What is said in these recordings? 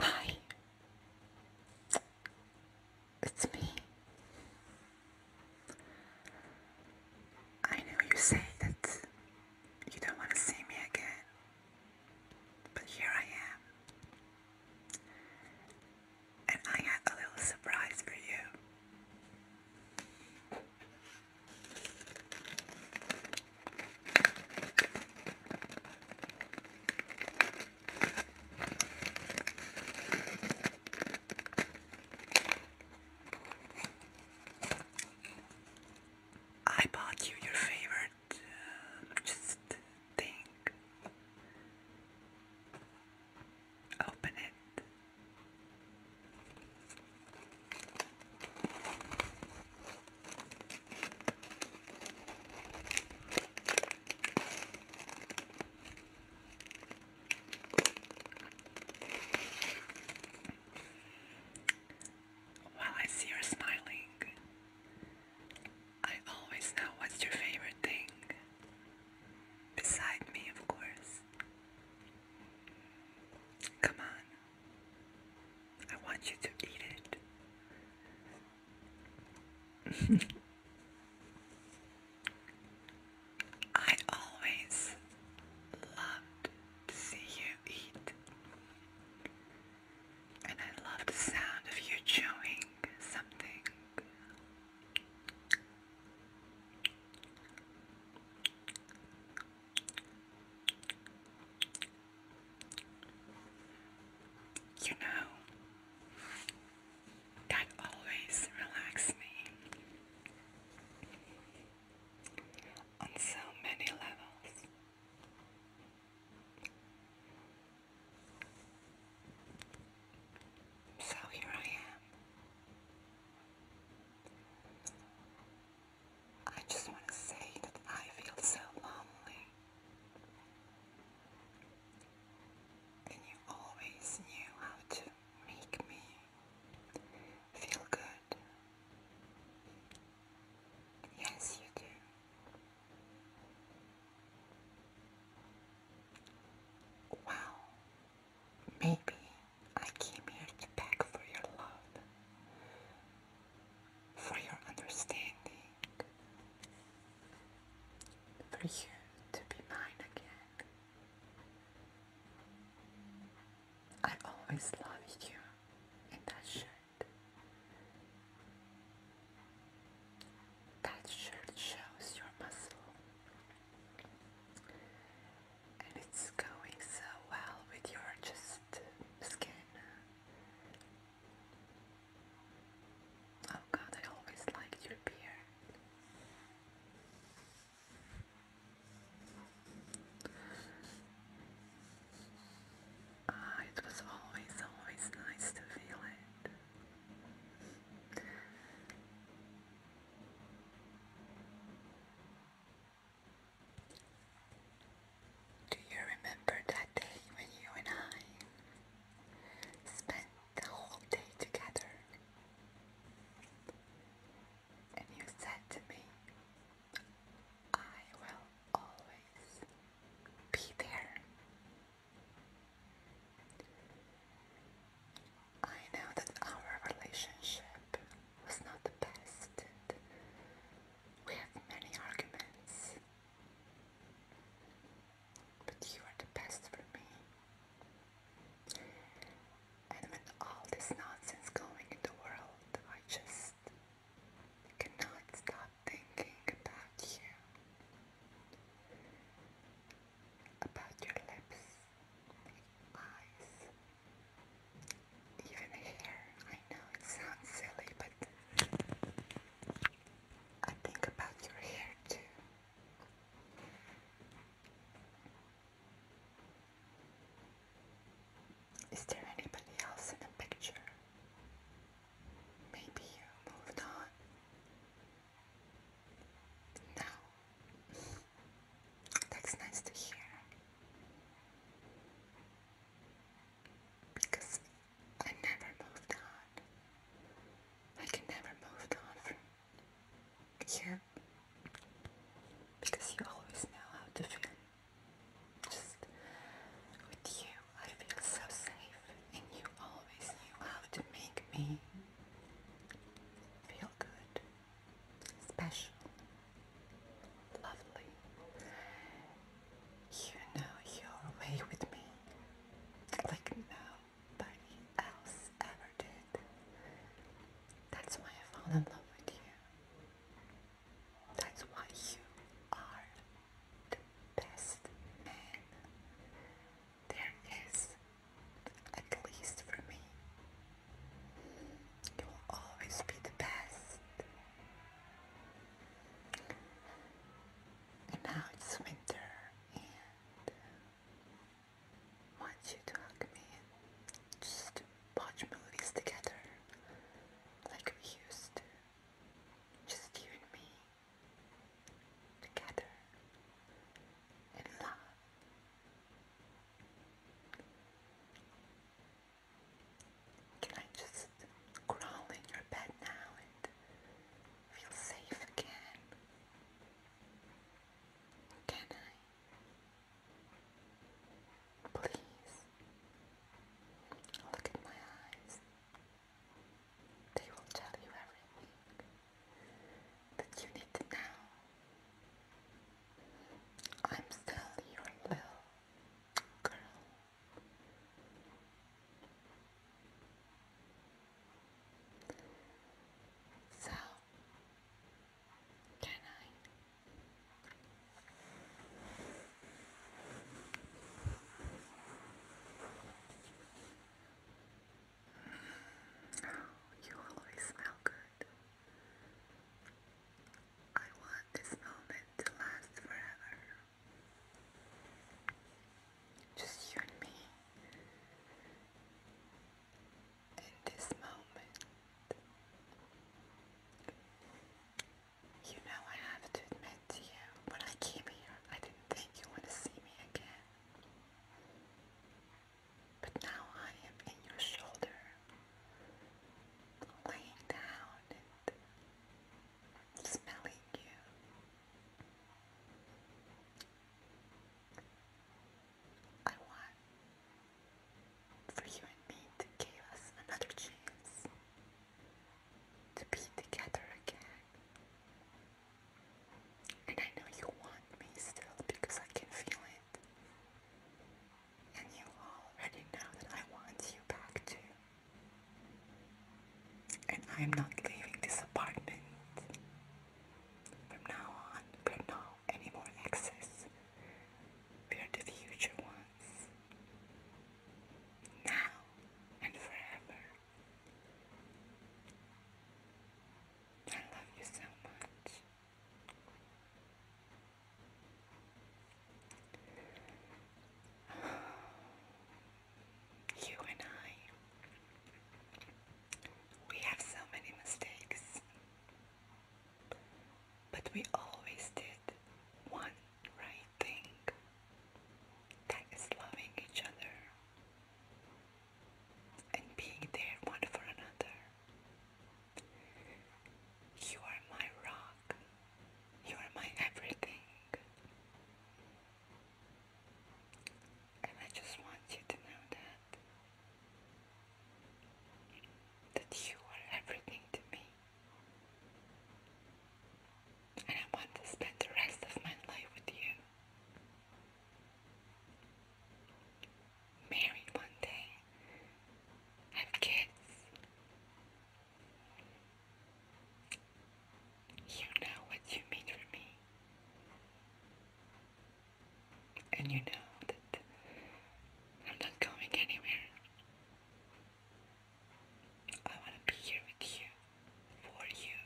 Hi, it's me. I know you say that you don't want to see me again, but here I am. And I had a little surprise for you. I bought you your favorite uh, just thing. Open it. While I see her smiling, I always know what's your favorite thing. Beside me, of course. Come on. I want you to eat it. I always loved to see you eat. And I love the sound of you chewing something. You know, that always relaxes me on so many levels. So here I am I just want to say that I feel so lonely. And you always knew how to make me feel good. Yes, you do. Wow, Maybe I came here to beg for your love, for your understanding, for you to be mine again. I always loved you in that shirt. That shirt shows your muscle and it's going so well with your just skin. Oh god, I always liked your beard. Ah, it was always, always nice to feel it. Do you remember that day when you and I spent the whole day together? And you said to me, I will always be there. I know that our relationship was not the best. We have many arguments. But you are the best for me. And with all this nonsense going in the world, I just cannot stop thinking about you about your lips, eyes, even hair. I know it sounds silly, but I think about your hair too. Is there anybody else in the picture? Maybe you moved on. Now, that's nice to hear. Because I never moved on. I can never move on from you. Because you always know how to feel. Just with you, I feel so safe, and you always knew how to make me feel good, special, lovely. You know your way with me, like nobody else ever did. That's why I fell in love with you. That's why you are best man there is, at least for me. You will always be the best. And now it's winter, and want you to hug me just watch movies together like we used to. Just you and me. Together. In love. Can I just crawl in your bed now and feel safe again? Can I? Please look at my eyes. They will tell you everything that you need to know. I'm still your little girl. So, can I you always smell good. I want this moment to last forever. Just you and me. In this moment, you know I have to admit to you, when I came here, I didn't think you would see me again. But now I am in your shoulder, laying down and smelling you. I want for you and me to give us another chance to be together again. And I know you want me still because I can feel it. And you already know that I want you back too. And I'm not leaving this apartment. From now on, we're any more excess. We are the future ones. Now and forever. I love you so much. You and I, we have so many mistakes. But we always did one right thing that is loving each other and being there one for another. You are my rock, you are my everything. And I just want you to know that that you are everything to me. And I want to spend the rest of my life with you. Married one day, have kids. You know what you mean for me and you know that I'm not going anywhere. I want to be here with you, for you,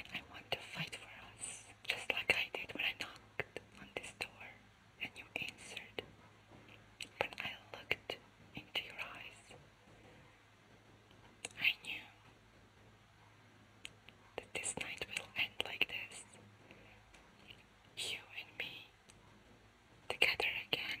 and I want to fight for us, just like I did when I knocked on this door and you answered. When I looked into your eyes, I knew that this night will end like this. You and me together again.